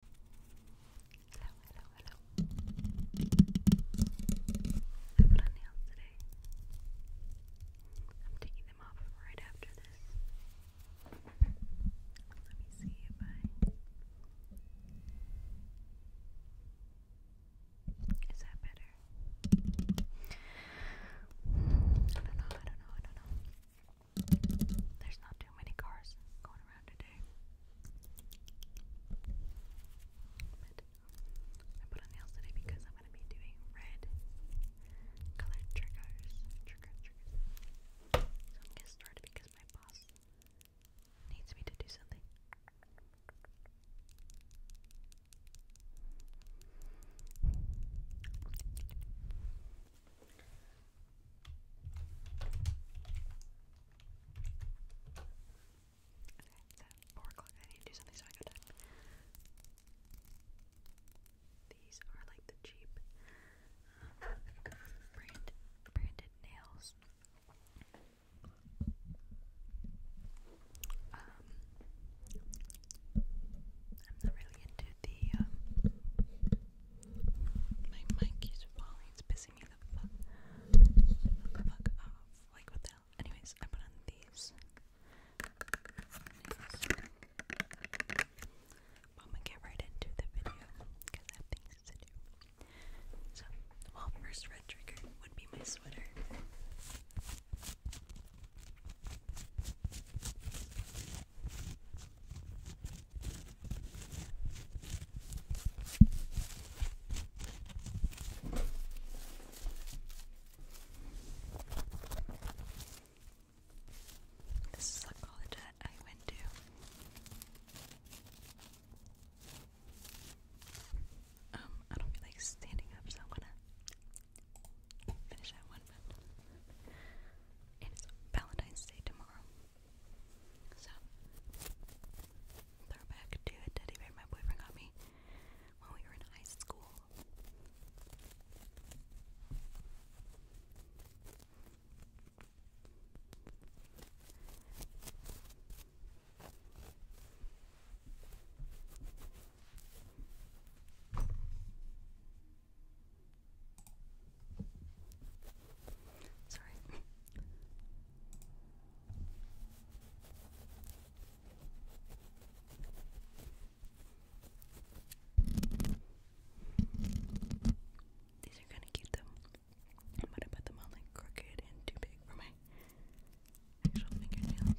hello, hello. I put on nails today. I'm taking them off right after this. Let me see if I. Is that better? I don't know, I don't know, I don't know. There's not too many cars going around today. I put on nails today because I'm gonna be doing red colored triggers. Trigger triggers. I'm gonna start because my boss needs me to do something. Okay, it's 4 o'clock. I need to do something so I got These are like the cheap um, brand, branded nails. Um, I'm not really into the, um, my mic is falling, it's busy. Anyways, I put on these. I'm gonna get right into the video because I have things to do. So, well, first red trigger would be my sweater. This is the college that I went to. Um, I don't feel like standing up, so I'm gonna finish that one. it is Valentine's Day tomorrow. So, throwback to a teddy bear my boyfriend got me when we were in high school. Sorry. These are kind of cute though. But I put them on like crooked and too big for my actual fingernails.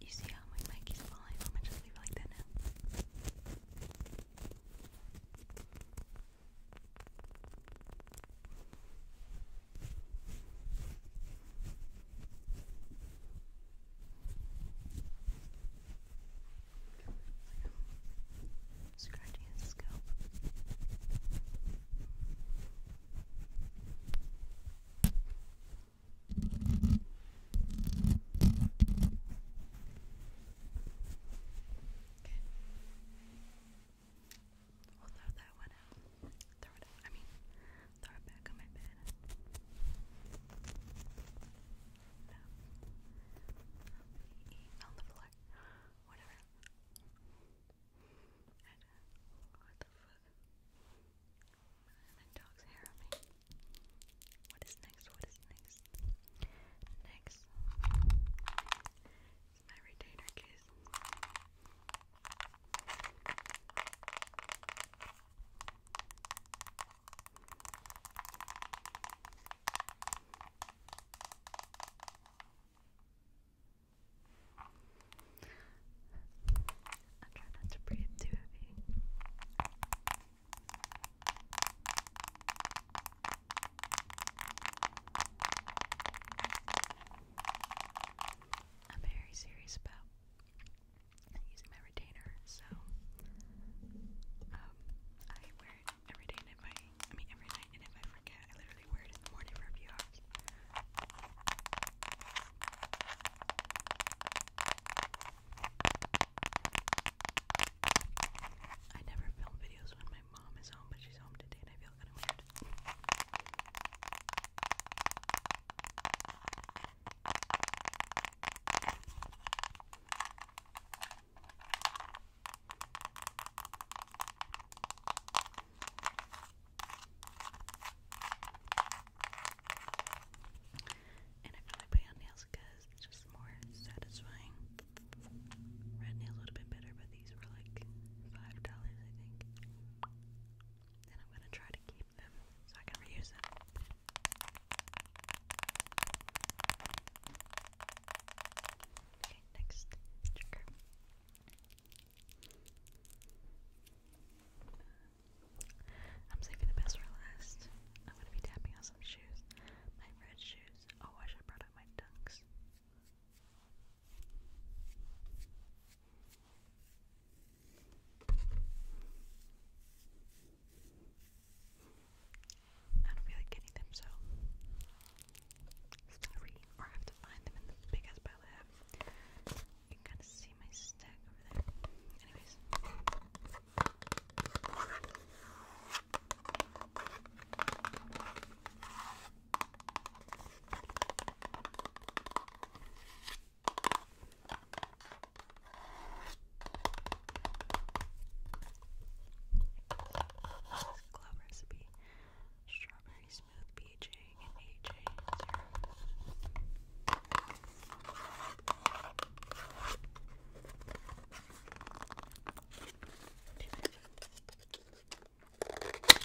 You see how my mic is falling? I'm gonna just leave it like that now. scratching his scalp. Okay. We'll throw that one out. Throw it out. I mean, throw it back on my bed. No. On the floor. Whatever. And, uh, what the fuck? What is next? What is next? Next is my retainer case. I'm not to breathe too heavy. I'm very serious about using my retainer, so um, I wear it every day, and if I, I mean every night, and if I forget, I literally wear it in the morning for a few hours. I never film videos when my mom is home, but she's home today and I feel kind of weird. And I feel like on nails because it's just more satisfying. Red nails would have been better, but these were like five dollars, I think. And I'm gonna try to keep them so I can reuse them. Okay, next I'm saving the best for last. I'm gonna be tapping on some shoes. My red shoes. Oh, I should have brought up my dunks. I don't feel like getting them, so sorry. Or I have to find them in the big ass pile I have. You can kind of see my stack over there. Anyways. glove recipe, strawberry smooth PJ Strawberries on the inside. Need this little bottle.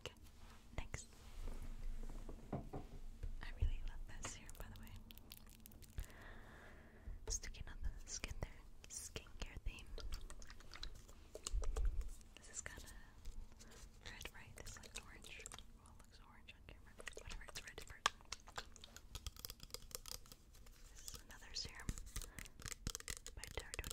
Okay, thanks. I really love this here, by the way. Sticking on the skin there, skincare theme. This is kind of red, right? This looks orange. Well, looks orange on camera. Whatever, it's red version. This is another serum by Tarte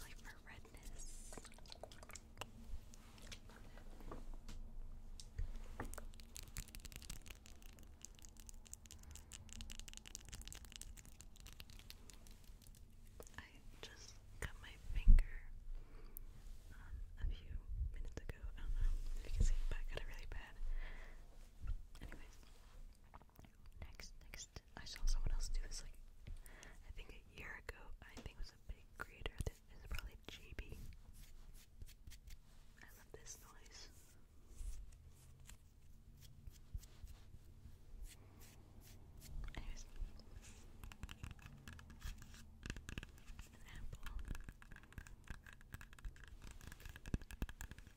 Like for redness. I just cut my finger um, a few minutes ago. I don't know if you can see, but I got it really bad. Anyways, Next, next, I saw someone else do this like I think a year ago. I think it was a big creator. This is probably GB. I love this noise. Anyways, an apple.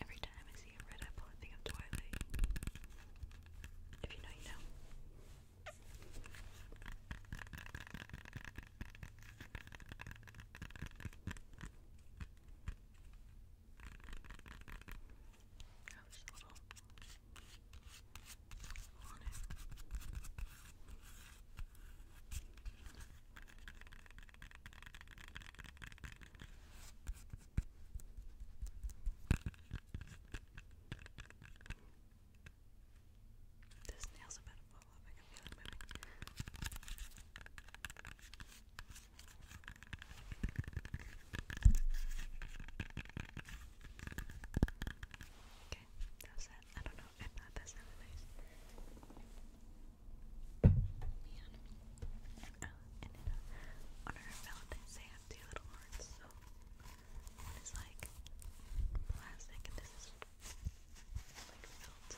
Every time I see a red apple, I think of Twilight. If you know, you know. That was nail's about to I can feel it moving. Okay, that it. I don't know if that that sounded nice. Man. Oh, and then uh, on our Valentine's Day have two little hearts, so one like plastic and this is like felt.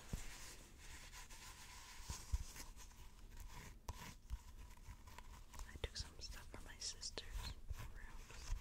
I took some stuff from my sister's room. I'm sorry.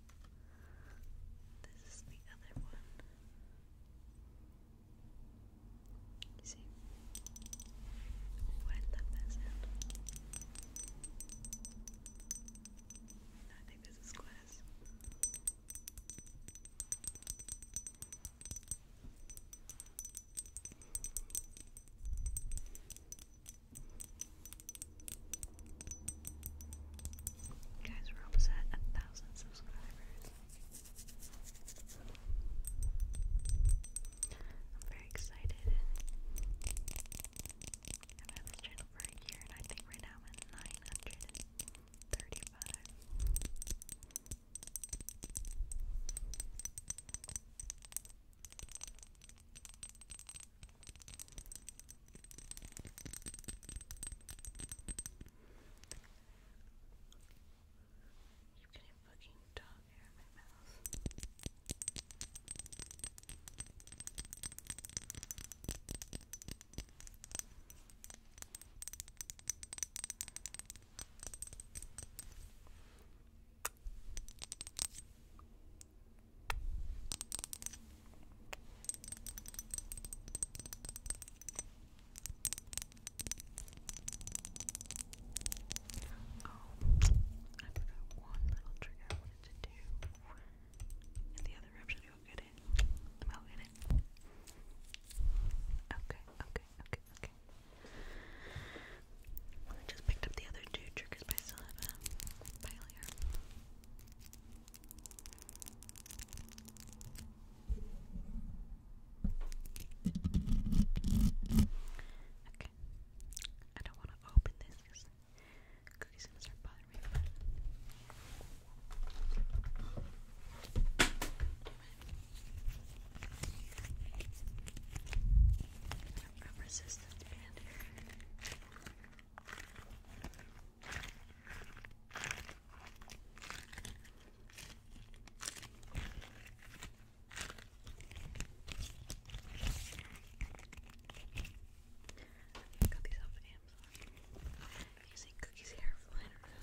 This is the other one. You see? Oh, I love that sound. No, I think this is glass. Guys, we're almost at a thousand subscribers. I'm very excited. I've this channel for a and I think right now I'm 935. You can fucking dog hair in my mouth. All Oh, I forgot one little trigger I wanted to do. And the other rib should go get it. I'll get it. Okay, okay, okay, okay. I just picked up the other two triggers by Sylva by earlier. Okay. I don't want to open this because cookies gonna start bothering me. I'm resistant and I got these off of Amazon. You see Cookie's hair flying around.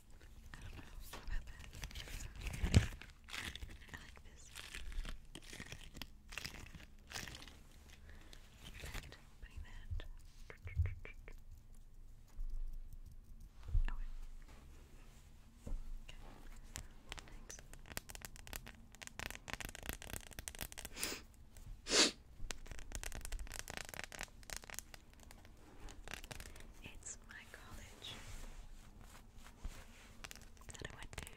I don't know about that. I like this. That, opening that. Oh wait. Okay. Next. It's my college that I went to.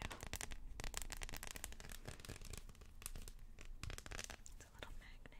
It's a little magnet.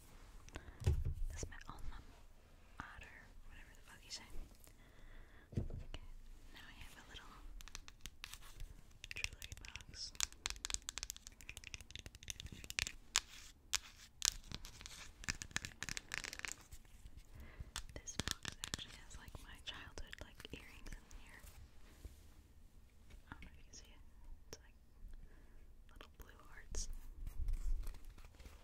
That's my alma otter, whatever the fuck you say. Okay, now I have a little jewelry box. This box actually has like my childhood like earrings in here. I don't know if you see it. It's like little blue hearts. I have to move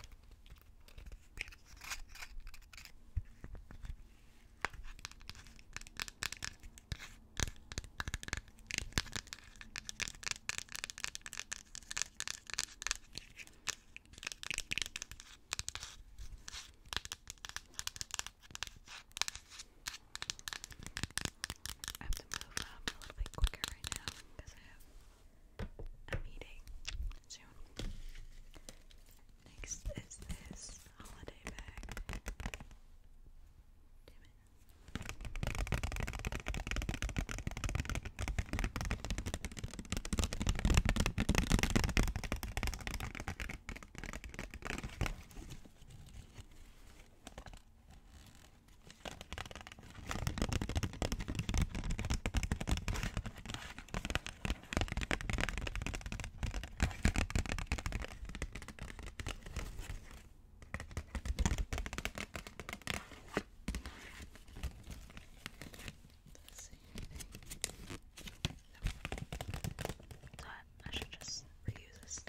um, a little bit quicker right now because I have I'm Next is this holiday bag. Damn it. Let's I, should just reuse this,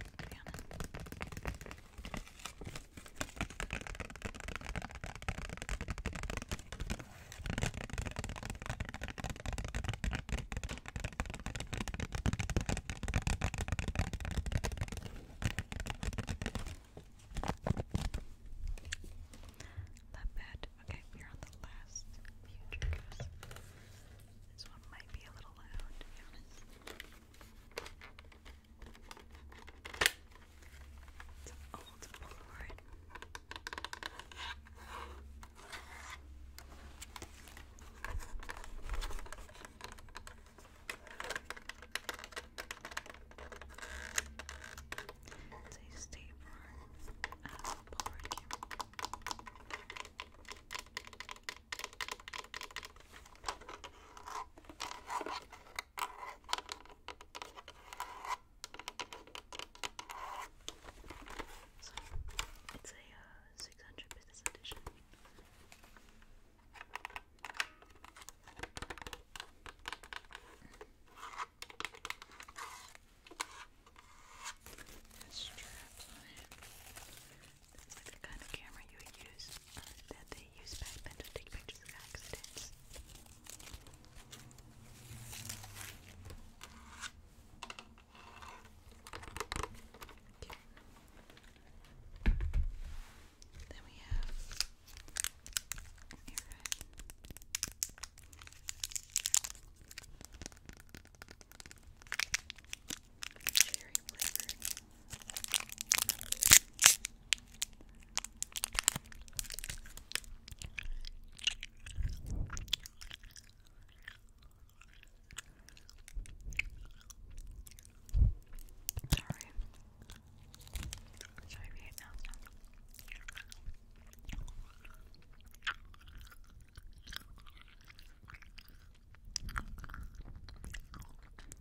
Love that. Okay, we're on the last few triggers. This one might be a little loud, to be honest. It's an old Polaroid. It's a stapler out a Polaroid so it's a uh, six hundred business edition. There's straps on like the kind of camera you would use uh, they use backpens to take pictures of accidents. Then we have Cherry flavored. Sorry. Sorry if you hate now.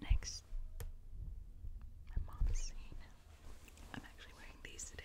Next, my mom is I'm actually wearing these today.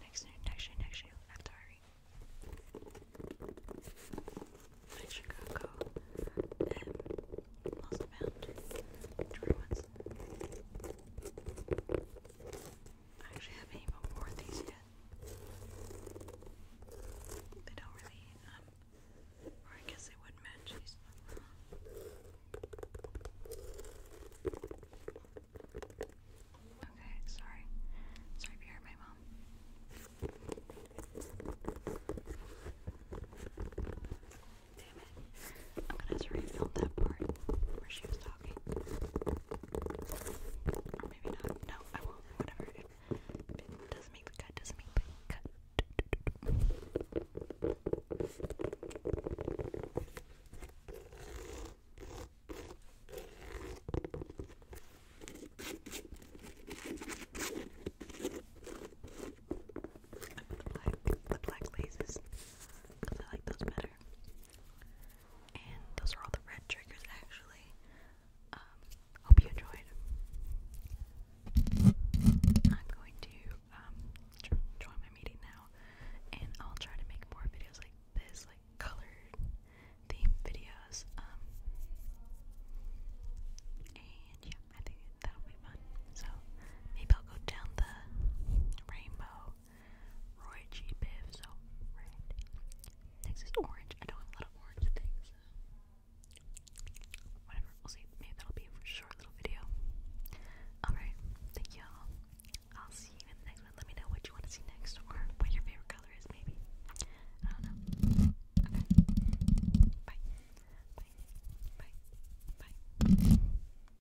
Next, next year, next year, after I reach Chicago and Lost Bound, I actually haven't even worn these yet. They don't really, um, or I guess they would match Okay, sorry. Sorry you heard my mom. Damn it. I'm gonna have to refill that part where she was talking. Or maybe not. No, I won't. Whatever. it doesn't make the cut, doesn't make the cut. I put the black, the black glazes I like those better other. And those are all the red triggers, actually. Um, hope you enjoyed. I'm going to um, join my meeting now, and I'll try to make more videos like this, like colored themed videos. Um, and yeah, I think that'll be fun. So maybe I'll go down the rainbow Roy G. Biv, so red. Next is orange. I don't have orange things. Whatever, we'll see. Maybe that'll be a short little video. Alright, thank y'all. I'll see you next Let me know what you want to see next or what your favorite color is, maybe. I don't know. Okay. Bye. Bye. Bye. Bye.